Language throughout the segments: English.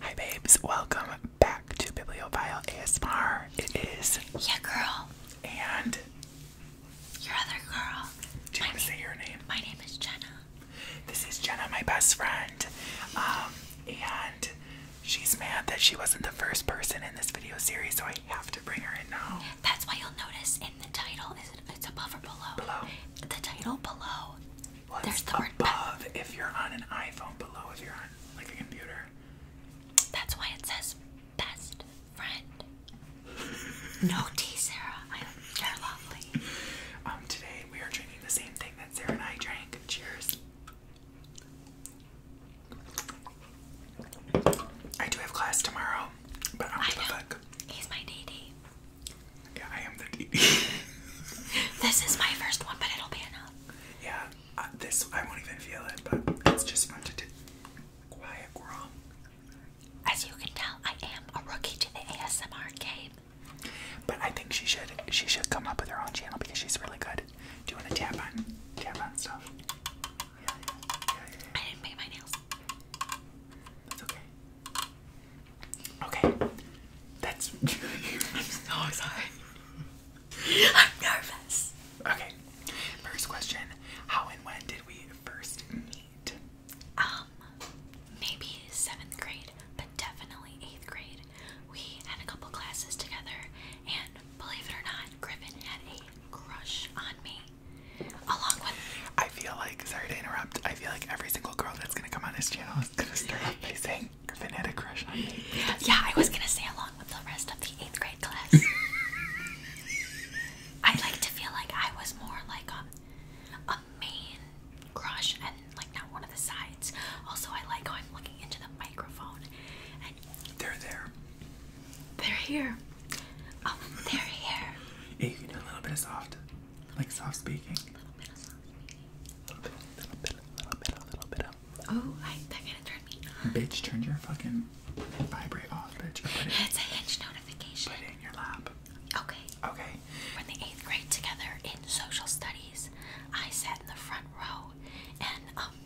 Hi babes, welcome back to Bibliophile ASMR. It is Yeah girl. And your other girl. Do you want to say your name? My name is Jenna. This is Jenna, my best friend. Um, and she's mad that she wasn't the first person in this video series, so I have to bring her in now. That's why you'll notice in the title is it's above or below. Below. The title below there's the word above if you're on an iPhone, below if you're on like a computer. That's why it says best friend. no tea, Sarah. I, you're lovely. Um, today we are drinking the same thing that Sarah and I drank. Cheers. I do have class tomorrow, but I'm I am the He's my DD. this is my first one, but it'll be enough. Yeah, uh, this I won't even feel it, but it's just fun to do. Quiet girl. As you can tell, I am a rookie to the ASMR game. But I think she should she should come up with her own channel because she's really good. Do you want to tap on tap on stuff? I didn't paint my nails. That's okay. Okay. That's. Oh, I'm so excited. I'm nervous. Okay. First question How and when did we first meet? Um, maybe seventh grade, but definitely eighth grade. We had a couple classes together, and believe it or not, Griffin had a crush on me. Along with. I feel like, sorry to interrupt, I feel like every single girl that's gonna come on this channel was gonna start off by saying Finn had a crush on me. Yeah, I was gonna say along with the rest of the eighth grade class. I like to feel like I was more like a, um, a main crush and like not one of the sides. Also, I like how I'm looking into the microphone. And they're there. They're here. Oh, they're here. Yeah, you can do a little bit of soft. Like soft speaking. Oh, I, that kind turned me Bitch, turn your fucking vibrate off, bitch. it's a hitch notification. Put it in your lap. Okay. Okay. we the eighth grade together in social studies. I sat in the front row, and um,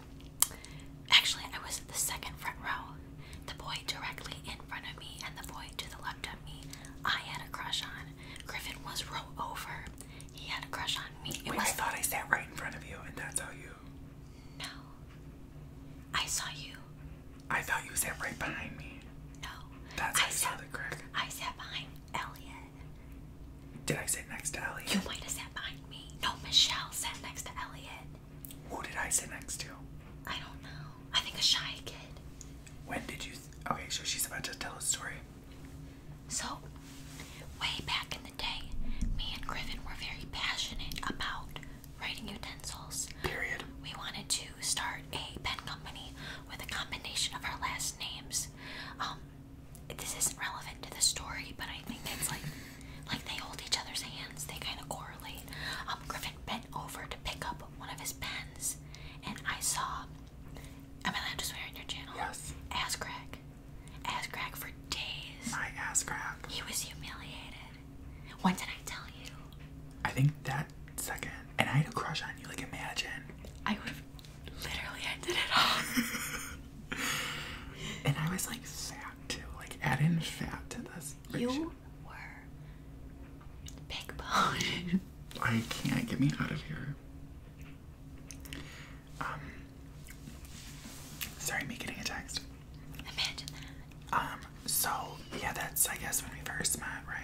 actually I was the second front row. The boy directly in front of me and the boy to the left of me, I had a crush on. Griffin was rowed over. He had a crush on me. It was... I thought I sat right in front of you, and that's how you. No. I saw you. I thought you sat right behind me. No. That's I, I saw the crick. I sat behind Elliot. Did I sit next to Elliot? You might have sat behind me. No, Michelle sat next to Elliot. Who did I sit next to? I don't know. I think a shy kid. When did you? Okay, so she's about to tell a story. So, way back in the day, me and Griffin were very passionate about writing utensils. Period. We wanted to start a pen company with a combination of our last names. Um, this isn't relevant to the story, but I think it's like, like they hold each other's hands. They kind of correlate. Um, Griffin bent over to pick up one of his pens, and I saw Am I allowed to swear on your channel? Yes. Ass crack. Ass crack for days. My ass crack. He was humiliated. What did I tell you? I think that second. And I had a crush on you, like imagine. I would have literally ended it all. and I was like sad too. Like adding in fat to this. You were Big bone. I can't. Get me out of here. Um. Sorry, me getting a text. Imagine that. Um. So yeah, that's I guess when we first met, right?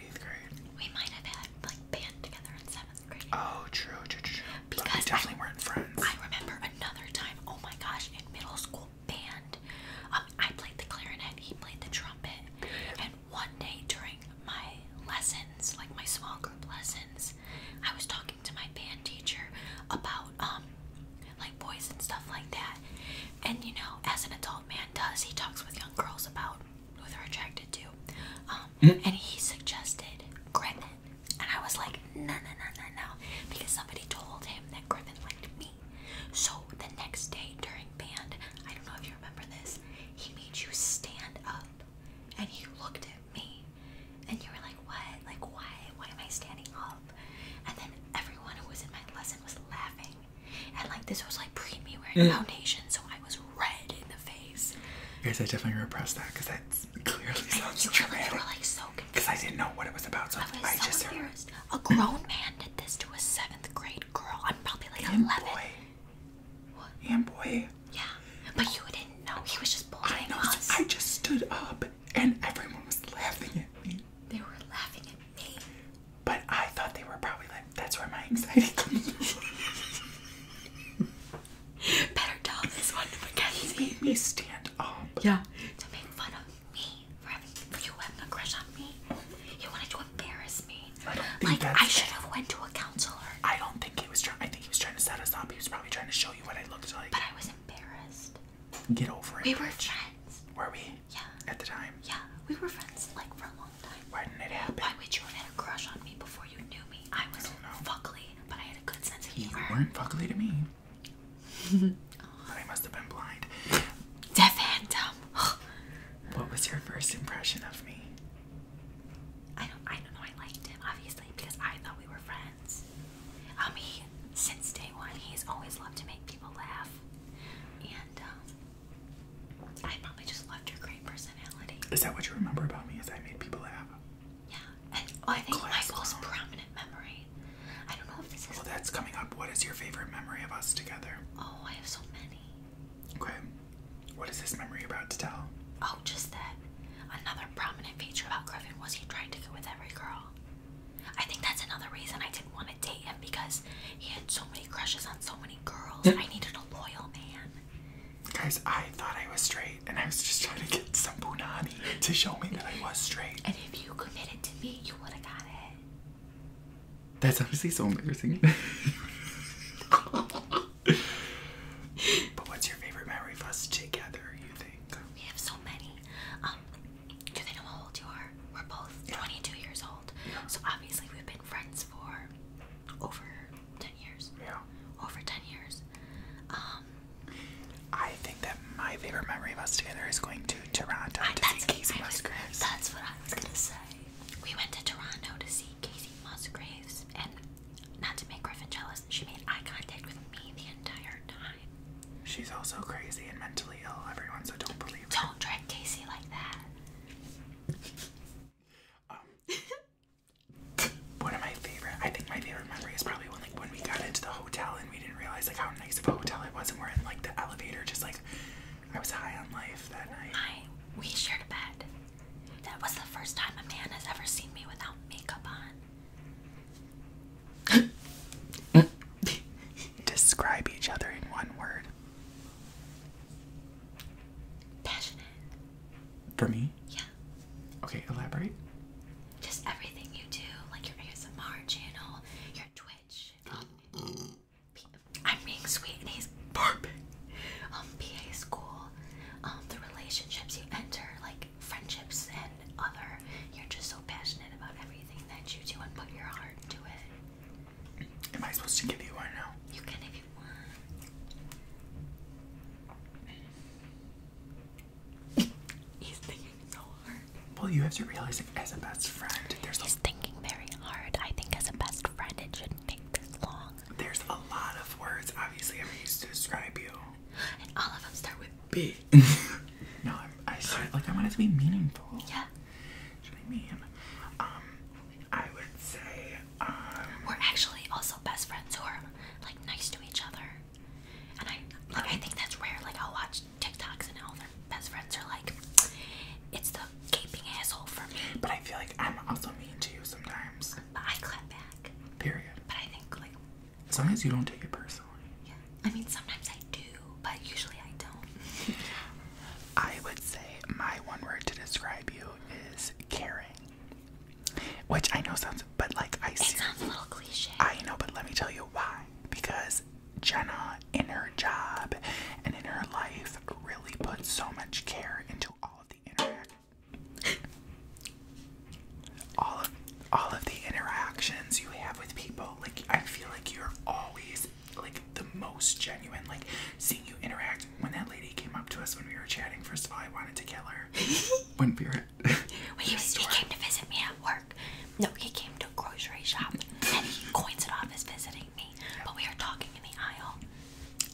eighth grade. We might have had like band together in seventh grade. Oh, true, true, true. Because but we definitely friends. I remember another time. Oh my gosh, in middle school band, um, I played the clarinet. He played the trumpet, and one day during my lessons, like my small group lessons, I was talking to my band teacher about um, like boys and stuff like that. And you know, as an adult man does, he talks with young girls about who they're attracted to. Um, hmm? and he suggested Griffin. And I was like, no no no no no because somebody told him that Griffin liked me. So the next day during band, I don't know if you you remember this? He made you stand up and you looked at me and you were like, What? Like, why? Why am I standing up? And then everyone who was in my lesson was laughing. And like, this was like pre me wearing foundation, so I was red in the face. Guys, I definitely repressed that because that clearly and sounds you dramatic. Were, you were like so confused. Because I didn't know what it was about, so I, was I so just confused. Heard. A grown man did this to a seventh grade girl. I'm probably like Good 11. Boy. What? boy. Yeah, but you didn't know. He was just bullying I us. I just stood up and everyone was laughing at me. They were laughing at me. But I thought they were probably like, that's where my anxiety comes from. Better tell this one to Mackenzie. He made me stand up. Yeah. To make fun of me for, having, you having a crush on me. You wanted to embarrass I do like I should have went to a counselor. I don't think he was trying. I think he was trying to set us up. He was probably trying to show you what I looked like. But I was embarrassed. Get over it. We were friends. Were we? Yeah. At the time. Yeah, we were friends like for a long time. Why didn't it happen? Why would you have had a crush on me before you knew me? I was I fuckly, but I had a good sense of humor. You weren't fuckly to me. oh. But I must have been blind. The Phantom. What was your first impression of me? I don't, I don't know. I liked him obviously because I thought we were friends. Um, he since day one he's always loved to make people laugh, and um, I probably just loved your great personality. Is that what you remember about me? Is I made people laugh? Yeah, and oh, I think my most prominent memory. I don't know if this is. Well, that's coming up. What is your favorite memory of us together? Oh, I have so many. Okay. What is this memory about to tell? Oh, just that. Another prominent feature about Griffin was he tried to go with every girl. I think that's another reason I didn't want to date him because he had so many crushes on so many girls. I needed a loyal man. Guys, I thought I was straight and I was just trying to get some punani to show me that I was straight. And if you committed to me, you would have got it. That's obviously so embarrassing. but what's your favorite memory of us together, you think? We have so many. Um, do they know how old you are? We're both 22 years old. Yeah. So obviously we've been friends for over 10 years. Yeah. Over 10 years. Um, I think that my favorite memory of us together is going to Toronto That's what I was going to say. We went to Toronto to see Casey Musgraves, and not to make Griffin jealous, she made eye contact with me the entire time. She's also crazy and mentally ill, everyone, so don't believe don't her. Don't drag Casey like that. Um, one of my favorite, I think my favorite memory is probably when, like, when we got into the hotel and we didn't realize, like, how nice of a hotel it was, and we're in, like, the elevator, just, like, I was high on life that night. we shared a bed. That was the first time a man has ever seen me without makeup on. Describe each other in one word. Passionate. For me? Yeah. Okay, elaborate. Just everything you do, like your ASMR channel, your Twitch. I'm being sweet and he's burping. Um, PA school, um, the relationships you enter, like friendships and other, you're just so passionate about everything that you do and put your heart into it. Am I supposed to give you one now? You can if you want. he's thinking so hard. Well, you have to realize it as a best friend. There's He's thinking very hard. I think as a best friend, it shouldn't take there's a lot of words, obviously, I'm used to describe you. And all of them start with B. no, i start like I want it to be meaningful. Yeah. Should I mean? Um, I would say. Um, We're actually also best friends who are like nice to each other, and I like I oh. think that's rare. Like I'll watch TikToks and all their best friends are like, it's the a asshole for me. But I feel like I'm also mean to you sometimes. But I clap back. Period. But I think like as long as you don't take it personally. Yeah. I mean sometimes I do, but usually I don't. I would say my one word to describe you is caring. Which I know sounds but like I see It sounds a little cliche. I know, but let me tell you why. Because Jenna in her job and in her life really put so much care into all of the interact, all of all of the interactions you have with people. Like I feel like you're always like the most genuine. Like seeing you interact. When that lady came up to us when we were chatting, first of all, I wanted to kill her. when we were when he, came to visit me at work. No, he came to a grocery shop and he coins it off as visiting me. But we are talking in the aisle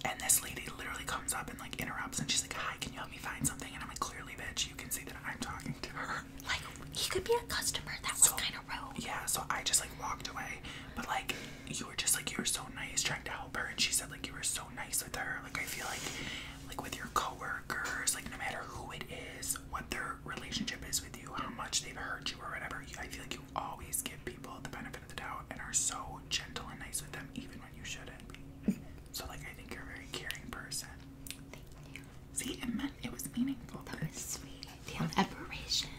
and this lady literally comes up and like interrupts and she's like, Hi, can you help me find something? And I'm like, Clearly, bitch, you can see that I'm talking to her. Like, he could be a customer. That so, was kind of rude. Yeah, so I just like walked away. But like, you were just like, You were so nice trying to help her. And she said, Like, you were so nice with her. Like, I feel like, like with your coworkers, like, no matter who it is, what their relationship is with you, how much they've hurt you, or whatever, I feel like you always give people the benefit of the doubt and are so gentle and nice with them, even when you shouldn't be. So, like, I think you're a very caring person. Thank you. See, it meant it was meaningful. That was sweet. The admiration.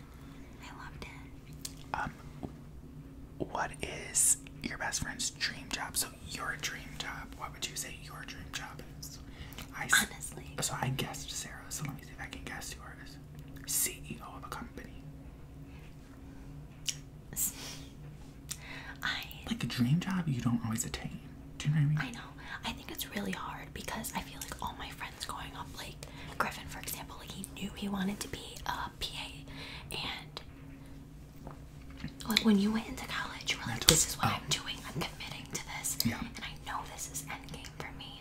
I loved it. Um, what is your best friend's dream job? So, your dream job. What would you say your dream job is? I, Honestly. So I guessed Sarah. So let me see if I can guess yours. CEO of a company. like a dream job you don't always attain. Do you know what I mean? I know. I think it's really hard because I feel like all my friends growing up, like Griffin, for example, like he knew he wanted to be a PA, and like when you went into college, you were like, "This is what oh. I'm doing. I'm committing to this, and I know this is endgame for me."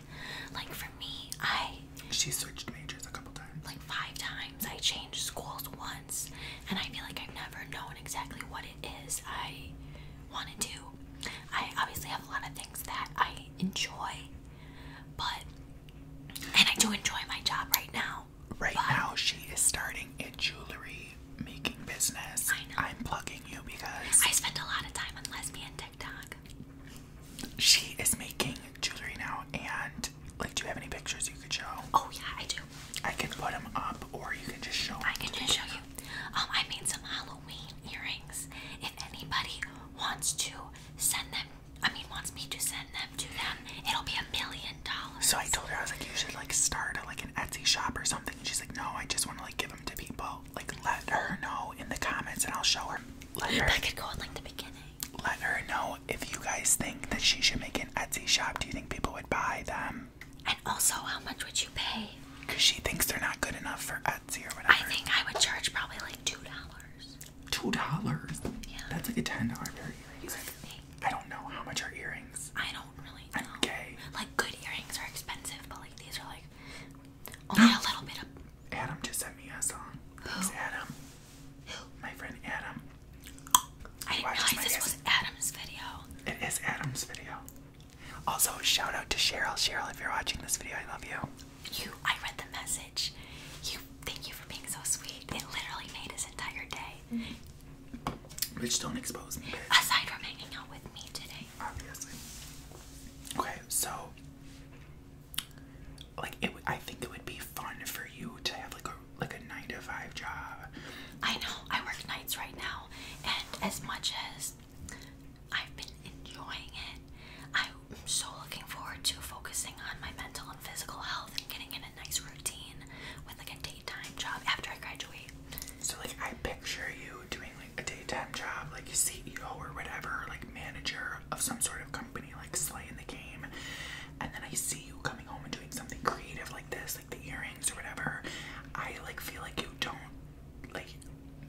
Like for me, I she switched majors a couple times. Like five times. I changed schools once, and I feel like I've never known exactly what it is I want to do. I obviously have a lot of things that I enjoy, but and I do enjoy my job right now. Right now, she is starting a jewelry making business. I am plugging you because I spend a lot of time on lesbian she is making jewelry now, and like, do you have any pictures you could show? Oh yeah, I do. I can put them up, or you can just show. Them I can just show you. Um, I made some Halloween earrings. If anybody wants to send them, I mean, wants me to send them to them, it'll be a million dollars. So I told her I was like, you should like start like an Etsy shop or something. And she's like, no, I just want to like give them to people. Like, let her know in the comments, and I'll show her. Let her, that could go in like the beginning. Let her know if you guys think that she should make an Etsy shop. Do you think people would buy them? And also, how much would you pay? Because she thinks they're not good enough for Etsy or whatever. I think I would charge probably like two dollars. Two dollars? Yeah. That's like a ten dollar pair of earrings. I don't know how much are earrings. I don't really know. I'm gay. Like good earrings are expensive, but like these are like only a little bit Adam just sent me a song. Who? My friend Adam. I did this was Adam's video. It is Adam's video. Also, shout out to Cheryl. Cheryl, if you're watching this video, I love you. You, I read the message. You, thank you for being so sweet. It literally made his entire day. Mm Bitch, don't expose me. Aside from hanging out with me today. Obviously. Okay, so like it I think it would be fun for you to have like a like a 9 to 5 job. I know. I work nights right now and as much as I've been enjoying it, I'm so looking forward to focusing on my mental and physical health and getting in a nice routine with like a daytime job after I graduate. So like I picture you doing like a daytime job like a CEO or whatever, like manager of some sort company like Slay in the game, and then I see you coming home and doing something creative like this, like the earrings or whatever, I like feel like you don't like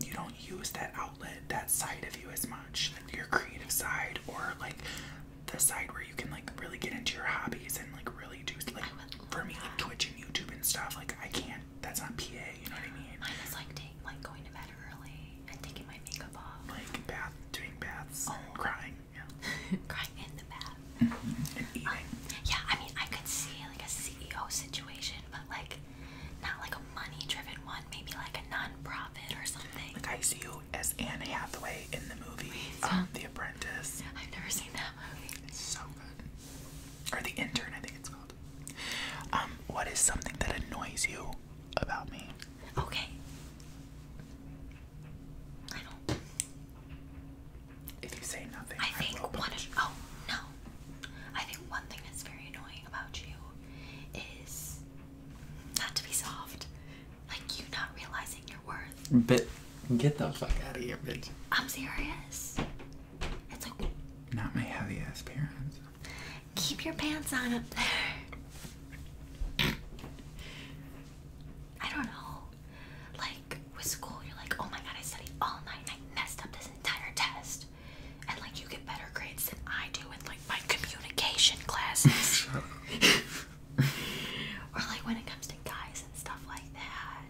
you don't use that outlet, that side of you as much, your creative side or like the side where you can like really get into your hobbies and like really do like for me like Twitch and YouTube and stuff. Like I can't. That's not PA. You know what I mean? I is like like going to bed early and taking my makeup off. Like bath, doing baths, oh. crying. Yeah. crying in the bath. Mm-hmm, uh, yeah, I mean, I could see like a CEO situation, but like not like a money-driven one. Maybe like a non-profit or something. Like I see you as Anne Hathaway in the movie um, The Apprentice. I've never seen that movie. It's so good. Or The Intern, I think it's called. Um, what is something that annoys you about me. Okay. I don't. If you say nothing, I think one. oh no! I think one thing that's very annoying about you is not to be soft, like you not realizing your worth. But get the fuck out of here, bitch! I'm serious. It's like not my heavy ass parents. Keep your pants on up there. I don't know. Like with school, you're like, oh my god, I studied all night and I messed up this entire test. And like you get better grades than I do in like my communication classes. or like when it comes to guys and stuff like that.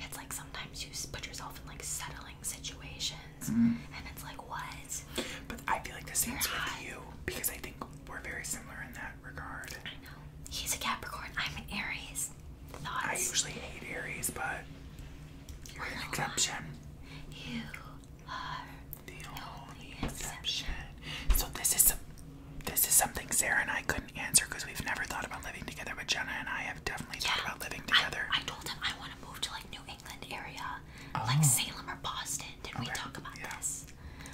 It's like sometimes you put yourself in like settling situations, mm-hmm. and it's like what? But I feel like the same with you because I think we're very similar in that regard. I know he's a Capricorn. I'm an Aries. I usually hate Aries, but you're an exception. You are the only exception. So this is this is something Sarah and I couldn't answer because we've never thought about living together. But Jenna and I have definitely thought about living together. I told him I want to move to like New England area. Oh. like Salem or Boston. Did we talk about this?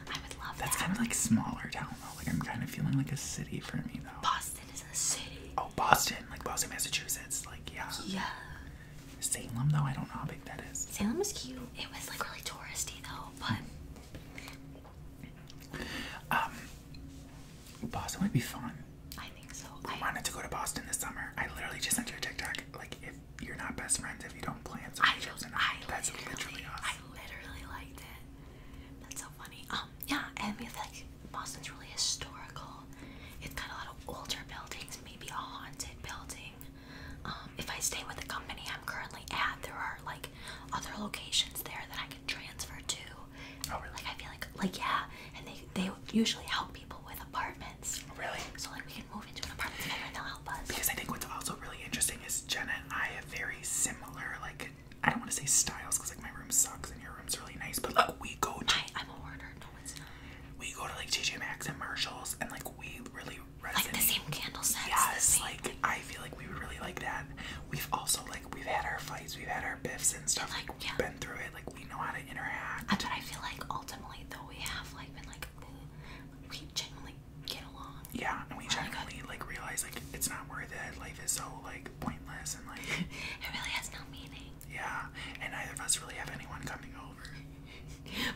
I would love That's that. That's kind of like smaller town though. Like I'm kind of feeling like a city for me though. Boston is a city. Oh, Boston, like Boston, Massachusetts. Like yeah. Yeah. Salem though, I don't know how big that is. Salem was cute. It was like really touristy though, but um, Boston would be fun. I think so. I wanted to go to Boston this summer. I literally just sent you a TikTok. Like if you're not best friends if you don't plan something. I, just, I that's literally I literally liked it. That's so funny. Um, yeah, and we like Boston's really historical. It's got a lot of older buildings, maybe a haunted building. Um, if I stay with the company I'm currently at, there are like other locations there that I can transfer to. Oh, really? Like I feel like, like yeah, and they they usually help people with apartments. Really? So like we can move into an apartment together and they'll help us. Because I think what's also really interesting is Jenna and I have very similar like I don't want to say styles because like my room sucks and your room's really nice, but like we go to I, am a hoarder. No, it's not. We go to like TJ Maxx and Marshalls and like we really resonate. Like the same candle sets. Yes, like I feel like we would really like that. We've also like we've had our fights, we've had our biffs and stuff. Like we've been through it. Like we know how to interact. That's what I feel like ultimately though we have like life and like we genuinely get along. Yeah, and we oh genuinely like, realize like it's not worth it. Life is so like pointless and like it really has no meaning. Yeah, and neither of us really have anyone coming over.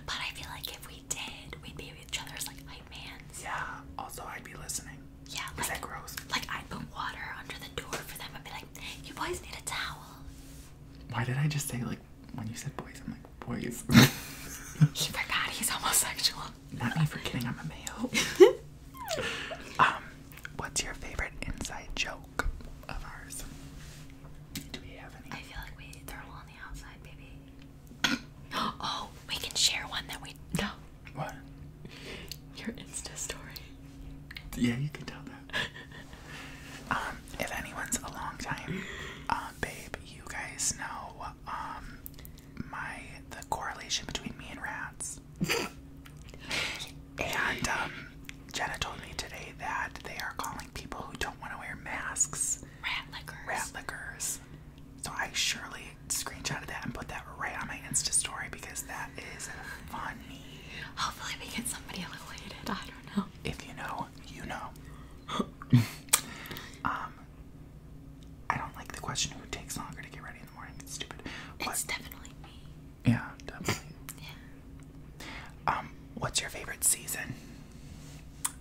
but I feel like if we did, we'd be each other's like hype mans. Yeah. Also, I'd be listening. Yeah. Like, that gross? Like I'd put water under the door for them and be like, "You boys need a towel." Why did I just say like? when you said boys, I'm like, boys. he forgot he's homosexual. Not me forgetting I'm a male. um, what's your favorite inside joke of ours? Do we have any? I feel like we they're all on the outside, baby. oh, we can share one that we no. What? Your Insta story. Yeah, you can tell that. Um, if anyone's a long time um, babe, you guys know um, my the correlation between me and rats. and Jenna told me today that they are calling people who don't want to wear masks rat lickers. Rat lickers. So I surely screenshotted that and put that right on my Insta story because that is funny. Hopefully we get somebody related. I don't know. If you know you know. um, I don't like the question who takes longer to get ready in the morning. stupid. it's definitely me. Yeah, definitely. yeah. Um, what's your favorite season?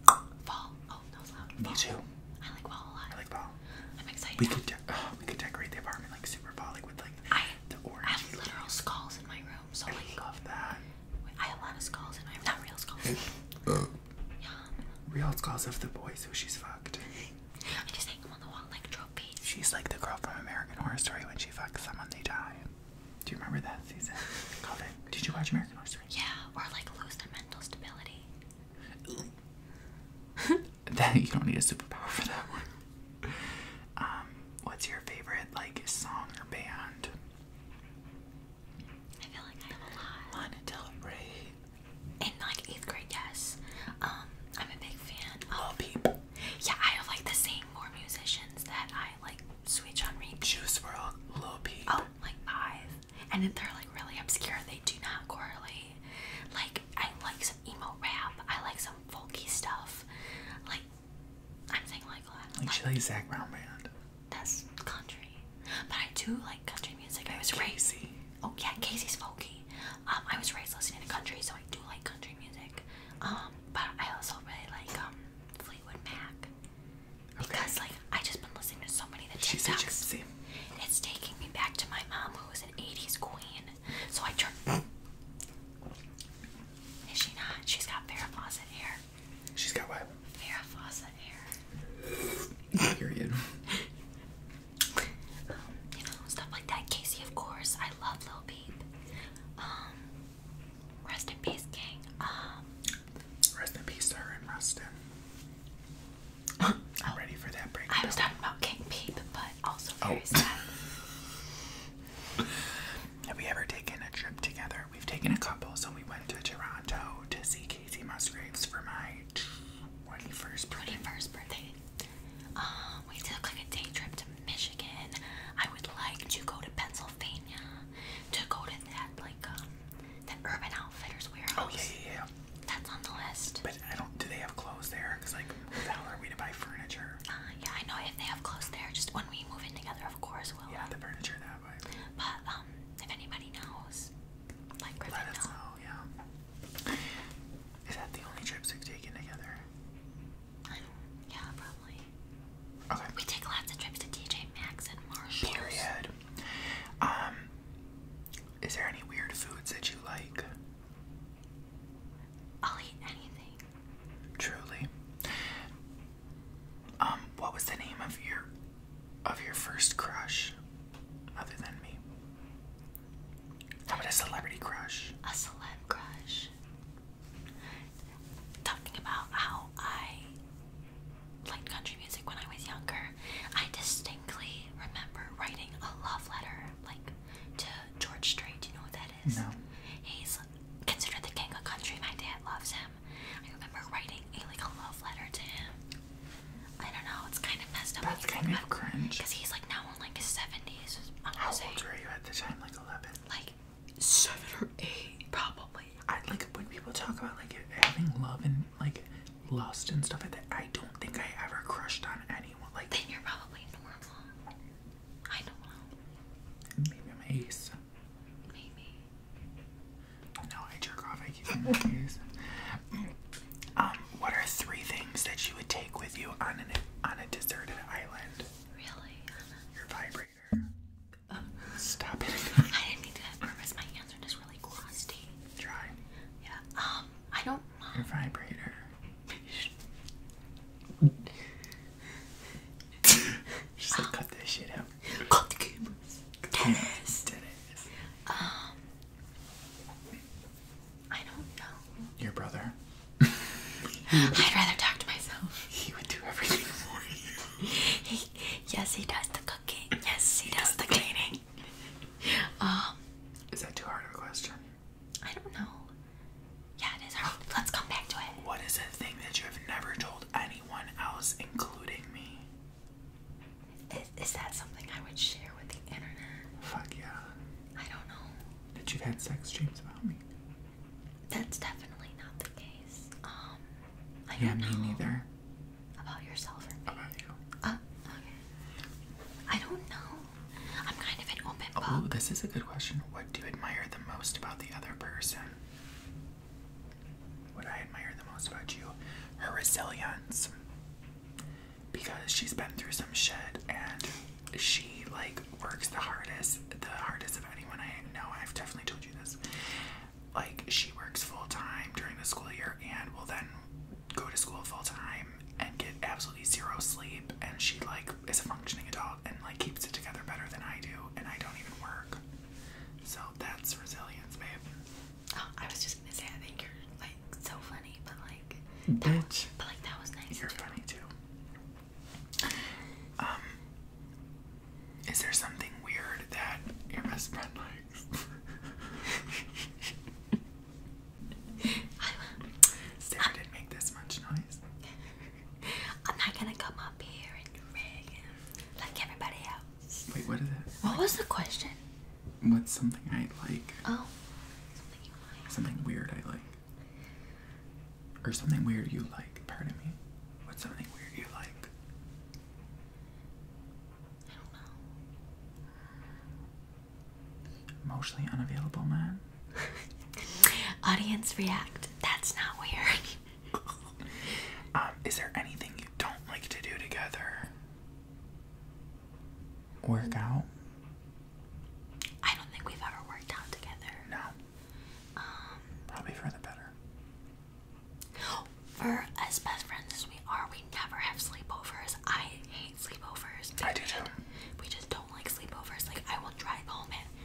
Fall. Oh, no, it's loud. Me too. I like fall a lot. I like fall. I'm excited. We could, we could decorate the apartment like super fall, like with like I, the orange. I have literal skulls in my room, so I love that. I have a lot of skulls and I have not real skulls. Uh, real skulls of the boys who she's fucked. I just hang them on the wall like trophies. She's like the girl from American Horror Story when she fucks someone they die. Do you remember that season? Called Did you watch American Horror Story? Yeah, or like lose their mental stability. Then you don't need a superpower for that one. Um, what's your favorite like song or band? I feel like I have a lot. Lana Del Rey. In like eighth grade, yes. Um, I'm a big fan of Yeah, I have like the same more musicians that I like switch on Juice World, Lil Oh, like five. And they're like really obscure. They do not correlate. Like I like some emo rap. I like some folky stuff. Like I'm saying like Like, like Chili Zach Brown Band. That's country. But I do like country music. I was Casey. raised. Oh yeah, Casey's folky. Um, I was raised listening to country, so I do like country music. Um, but I also really like um Fleetwood Mac. Because like I just been listening to so many of the She's TikToks. It's taking me back to my mom, who was an '80s queen. So I turned. Is she not? She's got Farrah hair. She's got what? Farrah hair. Period. Um, you know, stuff like that. Casey, of course. I love Lil Peep. Um, rest in peace, King. Um, rest in peace, sir, and Rustin. Oh. I'm ready for that break. I was talking about King Peep, but also very oh. sad. Have we ever taken a trip together? We've taken a couple, so we went to Toronto to see Casey Musgraves for my 21st birthday. 21st birthday. Um, we took like a day trip to Michigan. I would like to go to Pennsylvania to go to that like um that Urban Outfitters warehouse. Oh yeah, yeah, yeah. That's on the list. But I don't. Do they have clothes there? Cause like, who the are we to buy furniture? Uh, yeah, I know if they have clothes there. Just when we move in together, of course, yeah, the furniture that But um, if anybody knows, Let us know. Yeah. Is that the only trips we've taken together? Um, yeah, probably. Okay. We take lots of trips to TJ Maxx and Marshall. Period. Um, is there any weird foods that you like? I'll eat anything. Truly. Um, what was the name of your of your first crush other than me? How about a celebrity crush? A celeb crush. Talking about how I liked country music when I was younger, I distinctly remember writing a love letter like to George Strait, you know, what that is? No. He's considered the king of country. My dad loves him. I remember writing a, like a love letter to him. I don't know. It's kind of messed up. That's kind of cringe. Because he's like now in like his seventies. How old were you at the time? Like eleven. Like seven eight, probably. I like when people talk about like having love and like lust and stuff I don't think I ever crushed on anyone. Like you're probably normal. I don't know. Maybe I'm ace. No, I jerk off. I um, what are three things that you would take with you on an on a deserted island? Really? Your vibrator. Stop it. I didn't need to have My hands are just really crusty. Try. Yeah. Um, I don't. Your vibrator. Just like, cut that shit out. Cut the cameras. Dennis. Dennis. Um, I don't know. Your brother. I'd rather talk to myself. He would do everything for you. He, yes, he does the cooking. Yes, he, does, does the cleaning. um, is that too hard of a question? I don't know. Yeah, it is Let's come back to it. What is a thing that you have never told anyone else, including me? Is, is that something I would share with the internet? Fuck yeah. I don't know. That you've had sex dreams about me. That's definitely not the case. Um, I yeah, don't know. me neither. About yourself or About you. Uh, okay. I don't know. I'm kind of an open Oh, this is a good question. What do you admire the most about the other person? What I admire the most about you, her resilience. Because she's been through some shit and she like works the hardest, the hardest of anyone I know. I've definitely told you this. Like she works full time during the school year and will then go to school full time and get absolutely zero sleep and she like is a functioning adult and like keeps it together better than I do, and I don't even work. So that's resilience, babe. Oh, I was just gonna say I think you're like so funny, but like that Bitch. but like that was nice. You're funny too. Um Is there something weird that your best friend likes? Sarah didn't make this much noise. I'm not gonna come up here and rig like everybody else. Wait, what is it? What was the question? What's something I like? Oh, something you like. Something weird I like. Or something weird you like, pardon me. What's something weird you like? I don't know. Emotionally unavailable man? Audience react. That's not weird. Um, is there anything you don't like to do together? Work mm. out? I don't think we've ever worked out together. No. Um, Probably for the better. For as best friends as we are, we never have sleepovers. I hate sleepovers. I do too. We just don't like sleepovers. Like I will drive home at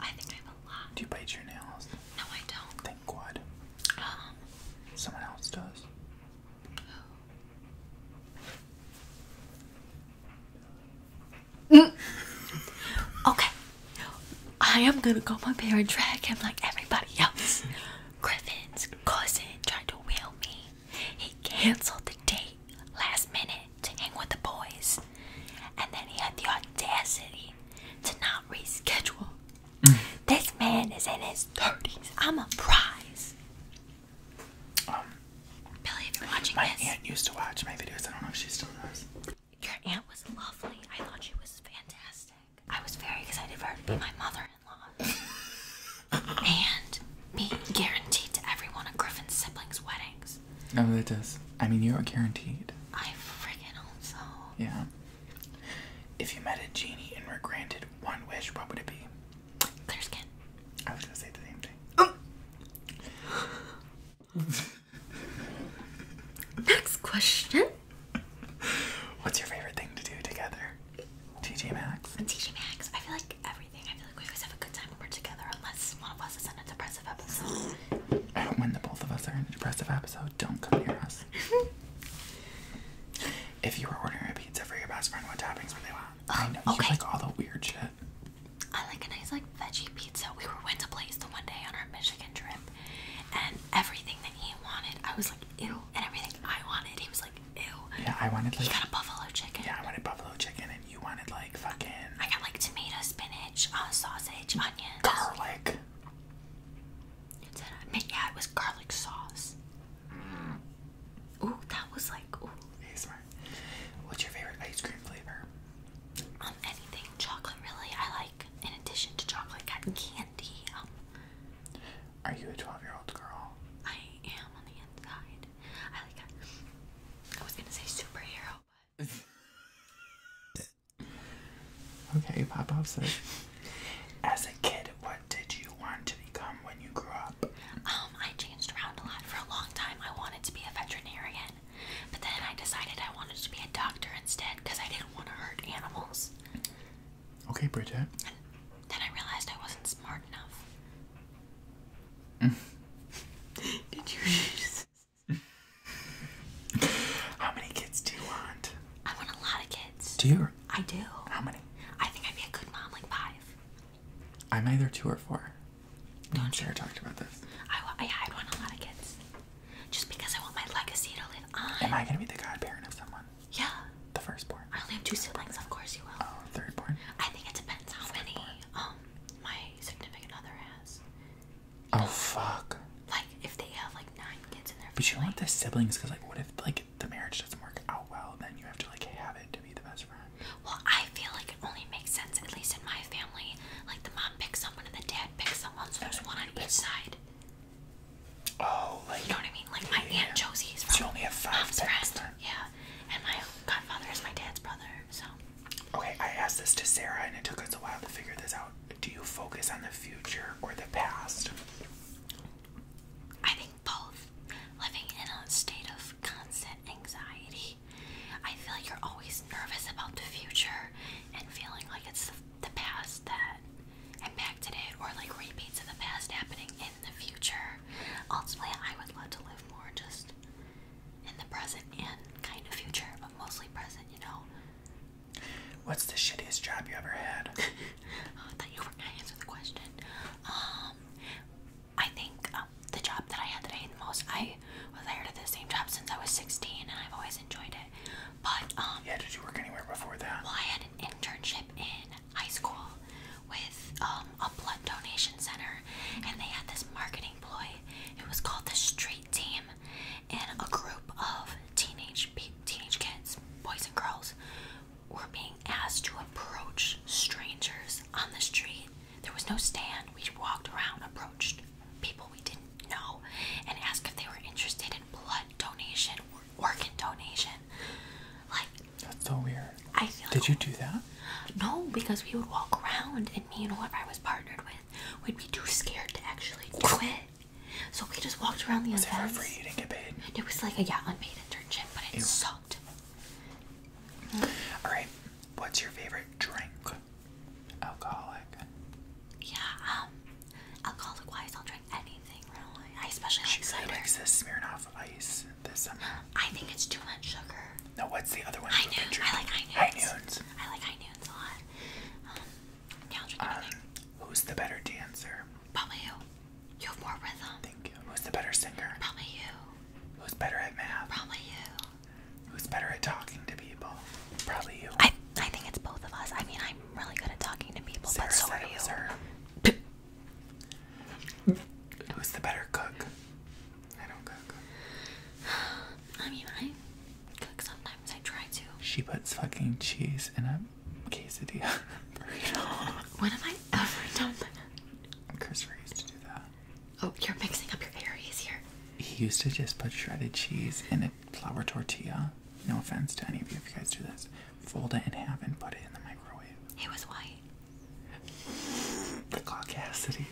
I think I have a lot. Do you bite your nails? No, I don't. Thank God. Um. Someone else does. Okay. I am gonna go my hair and drag him like everybody else. Griffin's cousin tried to wheel me. He canceled the date last minute to hang with the boys. And then he had the audacity to not reschedule. Mm. This man is in his 30s. I'm a prize. Um, Billy, if you're watching my this. My aunt used to watch my videos. I don't know if she still does. Your aunt was lovely. I thought she was fantastic. I was very excited for her to be my mother in law. and be guaranteed to everyone of Griffin's siblings' weddings. I Oh, that does. I mean, you are guaranteed. I freaking hope so. Yeah. If you met a genie and were granted one wish, what would it be? Clear skin. I was gonna say the same thing. Oh. Next question. What's your favorite thing to do together? TJ Maxx. TJ Maxx. I feel like everything. I feel like we always have a good time when we're together, unless one of us is in a depressive episode. when the both of us are in a depressive episode also oh, don't come near us. if you were ordering a pizza for your best friend, what toppings would they want? Oh, I know okay. you like all the weird shit. I like a nice like veggie pizza. We were went to place the one day on our Michigan trip, and everything that he wanted, I was like ew, and everything I wanted, he was like ew. Yeah, I wanted like. You got a buffalo chicken. Yeah, I wanted buffalo chicken, and you wanted like fucking. I got like tomato, spinach, uh, sausage, onions, garlic. It said, I yeah, it was garlic sauce. Ooh, that was like, ooh. Hey, smart. What's your favorite ice cream flavor? Um, anything chocolate, really. I like, in addition to chocolate, cotton candy. Um, Are you a 12 year old girl? I am on the inside. I like, I was gonna say superhero, but. Okay, Pop Pop says, as a kid, what did you want to become when you grew up? Um, I changed around a lot for a long time. I wanted to be a veterinarian, but then I decided I wanted to be a doctor instead because I didn't want to hurt animals. Okay, Bridget. then I realized I wasn't smart enough. Mm. did you How many kids do you want? I want a lot of kids. Do you? I do. How many? I think I'd be a good mom, like five. I'm either two or four. not share. talked about this. I, I, I want a lot of kids. Just because I want my legacy to live on. Am I going to be the godparent of someone? Yeah. The firstborn. I only have two siblings, of course you will. Oh, thirdborn? I think it depends how many um my significant other has. Oh fuck. Like if they have like nine kids in their family. But you want the siblings because like what if like the marriage doesn't work out well, then you have to like have it to be the best friend. Well, I feel like it only makes sense, at least in my family, like the mom picks someone and the dad picks someone, so there's one on each side. Oh, like you know what I mean? Like my yeah. aunt Josie is from so you only have five mom's friend. Then. Yeah. And my godfather is my dad's brother, so Okay, I asked this to Sarah and it took us a while to figure this out do you focus on the future or the past? I think both. Living in a state of constant anxiety, I feel like you're always nervous about the future and feeling like it's the past that impacted it or like repeats of the past happening in the future. Ultimately, I would love to live more just in the present and kind of future, but mostly present, you know? What's the shittiest job you ever had? Oh, I thought you were gonna answer the question. Um, I think um, the job that I had that I hated the most. I was hired at the same job since I was 16, and I've always enjoyed it. But um, yeah, did you work anywhere before that? Well, I had an internship in high school with um, a blood donation center, and they had this marketing ploy. It was called the Street team and a group of teenage teenage kids, boys and girls, were being asked to approach strangers on the street. There was no stand. We walked around, approached people we didn't know, and asked if they were interested in blood donation or organ donation. Like that's so weird. I feel Did you do that? No, because we would walk around and me and whoever I was partnered with would be too scared to actually do it. So we just walked around the was events. It for free? You didn't get paid. It was like a yeah, unpaid internship, but it Ew. sucked. Mm -hmm. All right, what's your favorite drink? Alcoholic. Yeah, um, alcoholic wise, I'll drink anything really. I especially she like cider. She likes this Smirnoff Ice this summer. I think it's too much sugar. No, what's the other one? High noon. I like high noons. High noons. I like high noons a lot. Um, um, who's the better dancer? Probably you. You have more rhythm. Thank Who's the better singer? Probably you. Who's better at math? Probably you. Who's better at talking to people? Probably you. I I think it's both of us. I mean, I'm really good at talking to people, but so are you. Who's the better cook? I don't cook. I mean, I sometimes. I try to. She puts fucking cheese in a quesadilla burrito. when have I ever done that? used to do that. Oh, you're mixing up your areas here. He used to just put shredded cheese in a flour tortilla. No offense to any of you if you guys do this. Fold it in half and put it in the microwave. It was white. The caucasity.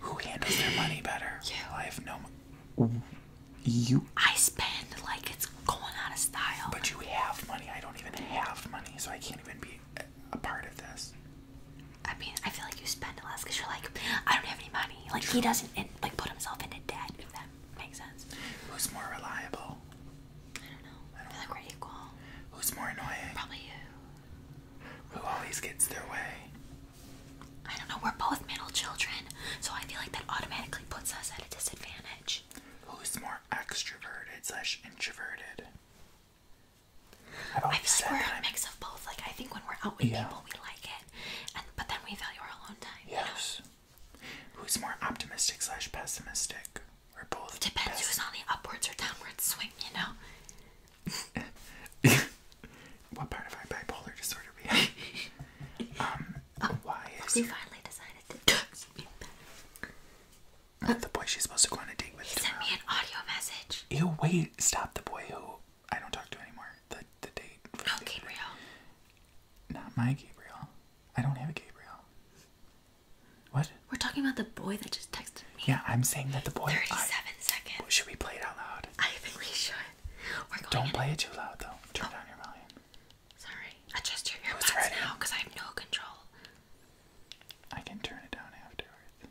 Who handles their money better? You. I have no. You. I spend like it's going out of style. But you have money. I don't even have money, so I can't even be a part of this. I mean, I feel like you spend less because you're like, I don't have any money. Like he doesn't like put himself into debt. If that makes sense. Who's more reliable? I don't know. I, feel like we're equal. Who's more annoying? Probably you. Who always gets their way? I don't know, we're both middle children, so I feel like that automatically puts us at a disadvantage. Who's more extroverted slash introverted? i feel like we're a mix of both. Like I think when we're out with people, we like it, and but then we value our alone time. Yes. Who's more optimistic slash pessimistic? We're both. Depends who's on the upwards or downwards swing, you know. What part of my bipolar disorder we have? um, oh, why is we finally decided to text me back. Uh, the boy she's supposed to go on a date with. He sent uh, me an audio message. Ew, wait, stop the boy who I don't talk to anymore. The the date. No, oh, Gabriel. Not my Gabriel. I don't have a Gabriel. What? We're talking about the boy that just texted me. Yeah, I'm saying that the boy. Thirty-seven I... seconds. Should we play it out loud? I think we should. Oh Don't play it too loud though. Turn oh. down your volume. Sorry. Adjust your earbuds now because I have no control. I can turn it down afterwards.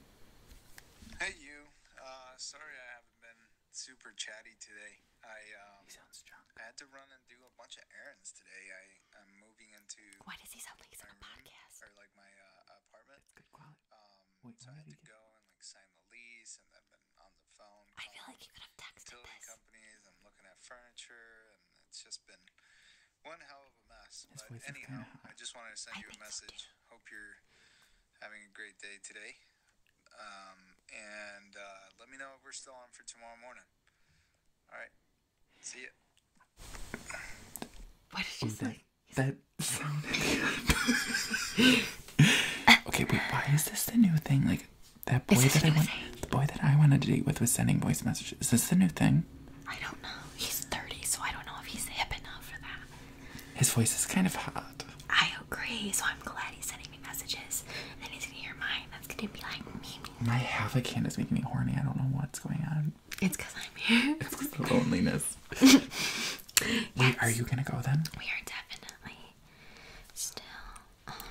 Hey you. Uh sorry I haven't been super chatty today. I um he sounds drunk. I had to run and do a bunch of errands today. I am moving into Why does he sound like he's on a podcast? Or like my uh, apartment. good quality. Um Wait, so I sign the lease I feel like you could have texted building companies. I'm looking at furniture, and it's just been one hell of a mess. but anyhow, I just wanted to send you a message. Hope you're having a great day today. Um, and uh, let me know if we're still on for tomorrow morning. All right. See you. What did you say? That sounded. okay, wait, why is this the new thing? Like that boy that I the boy that I wanted to date with was sending voice messages. Is this the new thing? I don't know. He's thirty, so I don't know if he's hip enough for that. His voice is kind of hot. I agree, so I'm glad he's sending me messages. And then he's gonna hear mine. That's gonna be like me. My half a can is making me horny. I don't know what's going on. It's because I'm here. it's because loneliness. Wait, are you gonna go then? We are definitely Still.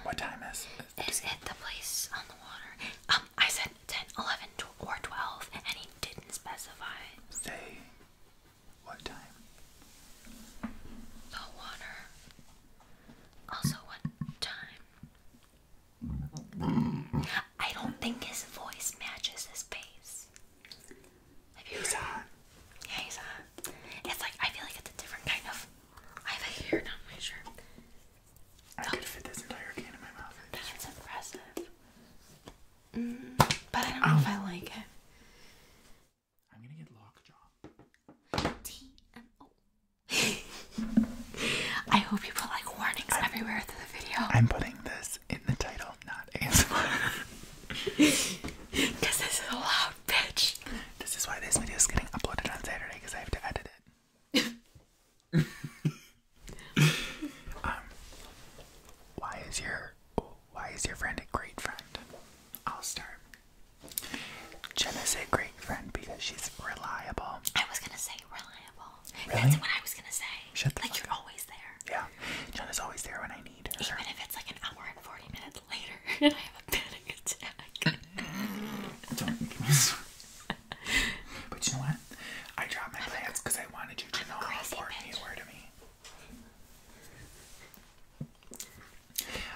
what time is um, Is it the place on the water? Um, I said 10, 11, or 12, and he didn't specify. Say what time? The water. Also, what time? I don't think his voice matches his face. Yeah, he's on. It's like I feel like it's a different kind of. I have a hair down my shirt. I could fit this entire can in my mouth. That's impressive. Mm, but I don't know if I oh. like it. I'm gonna get lockjaw. TMO. hope you put like warnings everywhere through the video. I'm putting this in the title, not ASMR. Because this is a loud bitch. This is why this video is getting uploaded on Saturday because I have to edit it. um, why is your why is your friend a great friend? I'll start. Jenna's a great friend because she's reliable. I was gonna say reliable. Really? That's what I was gonna say. Shut the like fuck you're always there. Yeah, Jenna's always there when I need her. Even if it's like an hour and forty minutes later and I have a panic attack. Don't make me But you know what? I dropped my plans because I wanted you to know how important you were to me.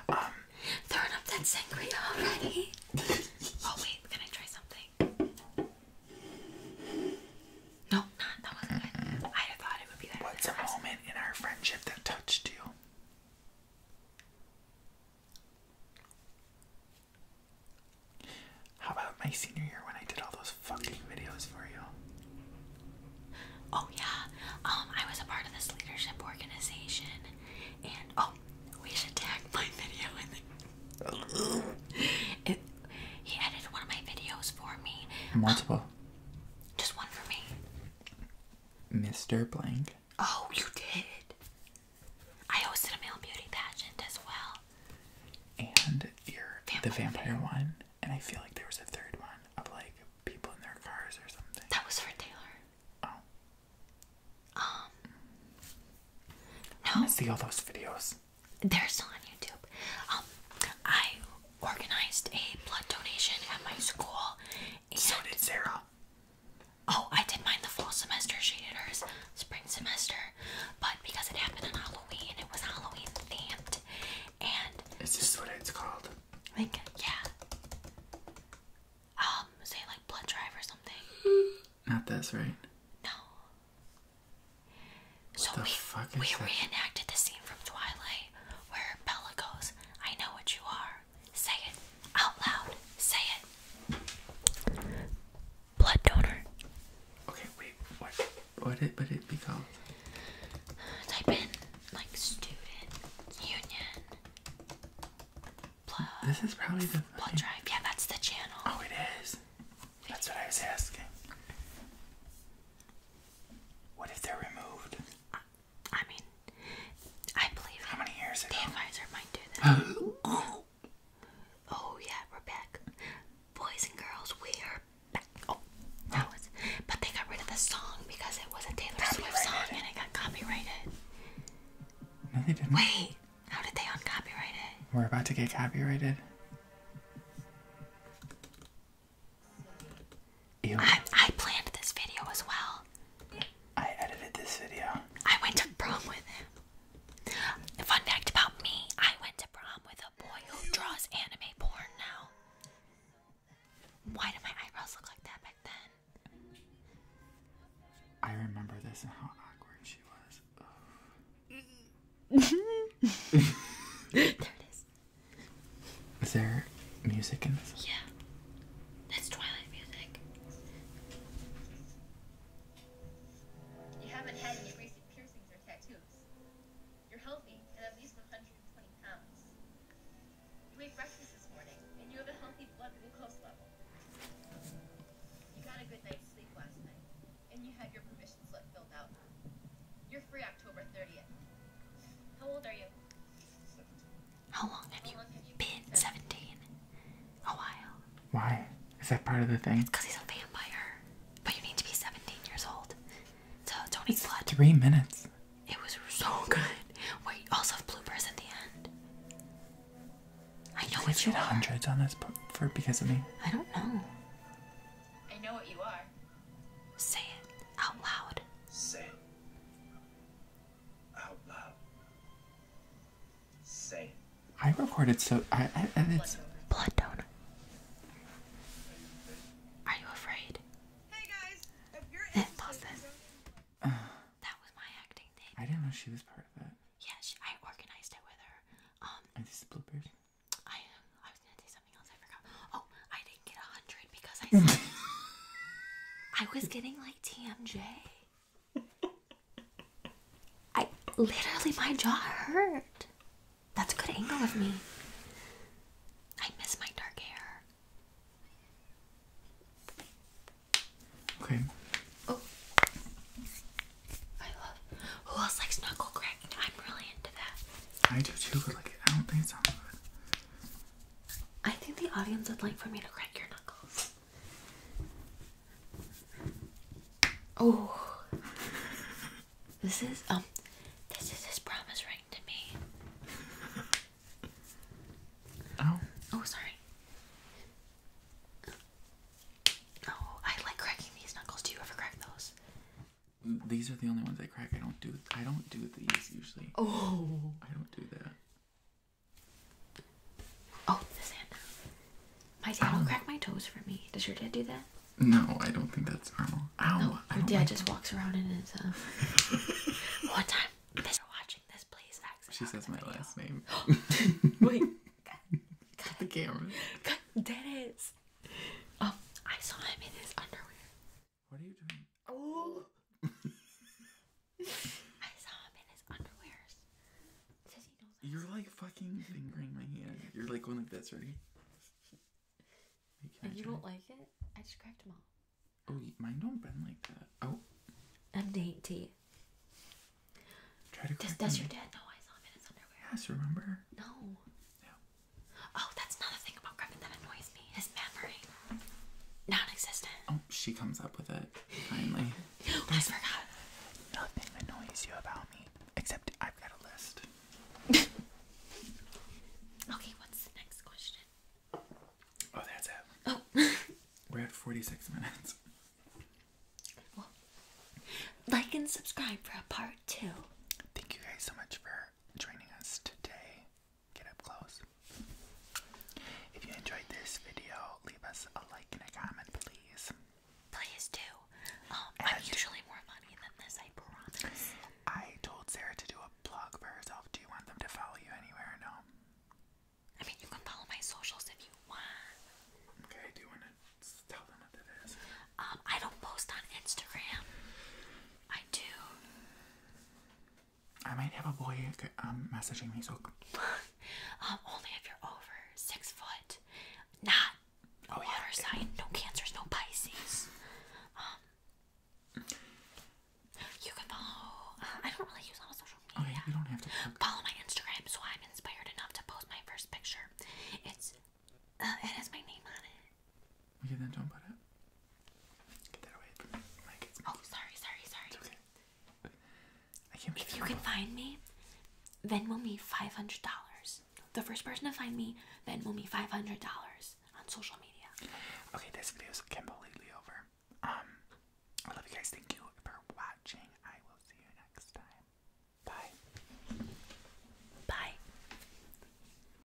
Um throwing up that sangria already. oh wait, can I try something? No, not that was I thought it would be that. What's a moment in our friendship that touched you? How about my senior year when I did all those fucking videos for you? Oh yeah, um, I was a part of this leadership organization, and oh, we should tag my video he edited one of my videos for me. Multiple. Um, just one for me. Mr. Blank. Oh, you did. I hosted a male beauty pageant as well. And your vampire the vampire one, and I feel like there was a third one of like people in their cars or something. That was for Taylor. Oh. Um. No. I see all those videos. They're still on YouTube. Um, I organized a blood donation at my school. And so did Sarah. Oh, I did mine the fall semester. She did hers spring semester. But because it happened on Halloween, it was Halloween themed. And is this what it's called? Like, yeah. Um, say like blood drive or something. Not this, right? No. so we, we reenacted the scene from Twilight where Bella goes. I know what you are. Say it out loud. Say it. Blood donor. Okay, wait. What? What did? What it become? Type in like student union. Blood. This is probably the blood drive. Yeah, that's the channel. Oh, it is. That's what I was asking. What if they're removed? I mean, I believe how many might do that. oh yeah, we're back, boys and girls. We are back. Oh, that was. But they got rid of the song because it was a Taylor Swift song and it got copyrighted. No, they didn't. Wait, how did they uncopyright it? We're about to get copyrighted. I, I planned this video as well. I edited this video. I went to prom with him. Fun fact about me, I went to prom with a boy who draws anime porn now. Why do my eyebrows look like that back then? I remember this and how awkward she was. there it is. Is there music in this? Yeah. That's Twilight music. You haven't had any recent piercings or tattoos. You're healthy and at least 120 pounds. You ate breakfast this morning and you have a healthy blood glucose level. You got a good night's sleep last night and you had your permission slip filled out. You're free October 30th. How old are you? How long have you been 17? A while. Why? Is that part of the thing? because he's a vampire. But you need to be 17 years old. So Tony's blood. Three minutes. It was so good. Wait, also have bloopers at the end. I know Did what you, you hundreds on this for because of me. I don't know. I know what you are. Say it out loud. Say it out loud. Say I recorded so I, and it's blood donor. Are you afraid? Hey guys, if you're that, that was my acting thing. I didn't know she was part of that. Yeah, I organized it with her. Um, Are bloopers? I, was gonna say I Oh, I didn't get a hundred because I I was getting like TMJ. I literally my jaw hurt. That's a good angle of me. I miss my dark hair. Okay. Oh, I love. Who else likes knuckle cracking? I'm really into that. I do too, but like I don't think it sounds good. I think the audience would like for me to crack your knuckles. Oh, this is um, this is his promise ring to me. Oh. Oh, sorry. Oh, I like cracking these knuckles. Do you ever crack those? These are the only ones I crack. I don't do. I don't do these usually. Oh. I don't do that. Oh, this hand. My dad will oh. crack my toes for me. Does your dad do that? No, I don't think that's normal. Ow! No, your dad just walks around in his. Uh... One time, thanks for watching this. Please, X. She says my last name. Wait. Cut, the camera. Cut. Dennis. Oh, I saw him in his underwear. What are you doing? Oh! I saw him in his underwears. Says he knows. You're like fucking fingering my hand. You're like going like this, right? and you don't like it? I just cracked them all. Oh, mine don't bend like that. Oh. I'm dainty. Does, your dad know I saw him in his underwear? Yes, remember? No. Oh, that's another thing about Griffin that annoys me. His memory. Non-existent. Oh, she comes up with it. Finally. I forgot. Nothing annoys you about me. Except I've got a list. okay, what's the next question? Oh, that's it. Oh. We're at 46 minutes. Well, like and subscribe for a part two. Thank you guys so much for joining us today get up close. If you enjoyed this video, leave us a like and a comment, please. Please do. Um, I'm usually more funny than this, I promise. I told Sarah to do a blog for herself. Do you want them to follow you anywhere no? I mean, you can follow my socials if you want. Okay, do you want to tell them what that is? Um, I don't post on Instagram. I do I might have a boy um, messaging me, so. um, only if you're over six foot. Not oh, water sign, no cancers, no Pisces. Um, you can follow. Uh, I don't really use all social oh, media. Okay, you don't have to. Follow my Instagram, so I'm inspired enough to post my first picture. It's. Uh, it has my name on it. We oh, can't if you can find me, Venmo me five hundred dollars. The first person to find me, then we'll me five hundred dollars on social media. Okay, this video's completely over. Um, I love you guys. Thank you for watching. I will see you next time. Bye. Bye.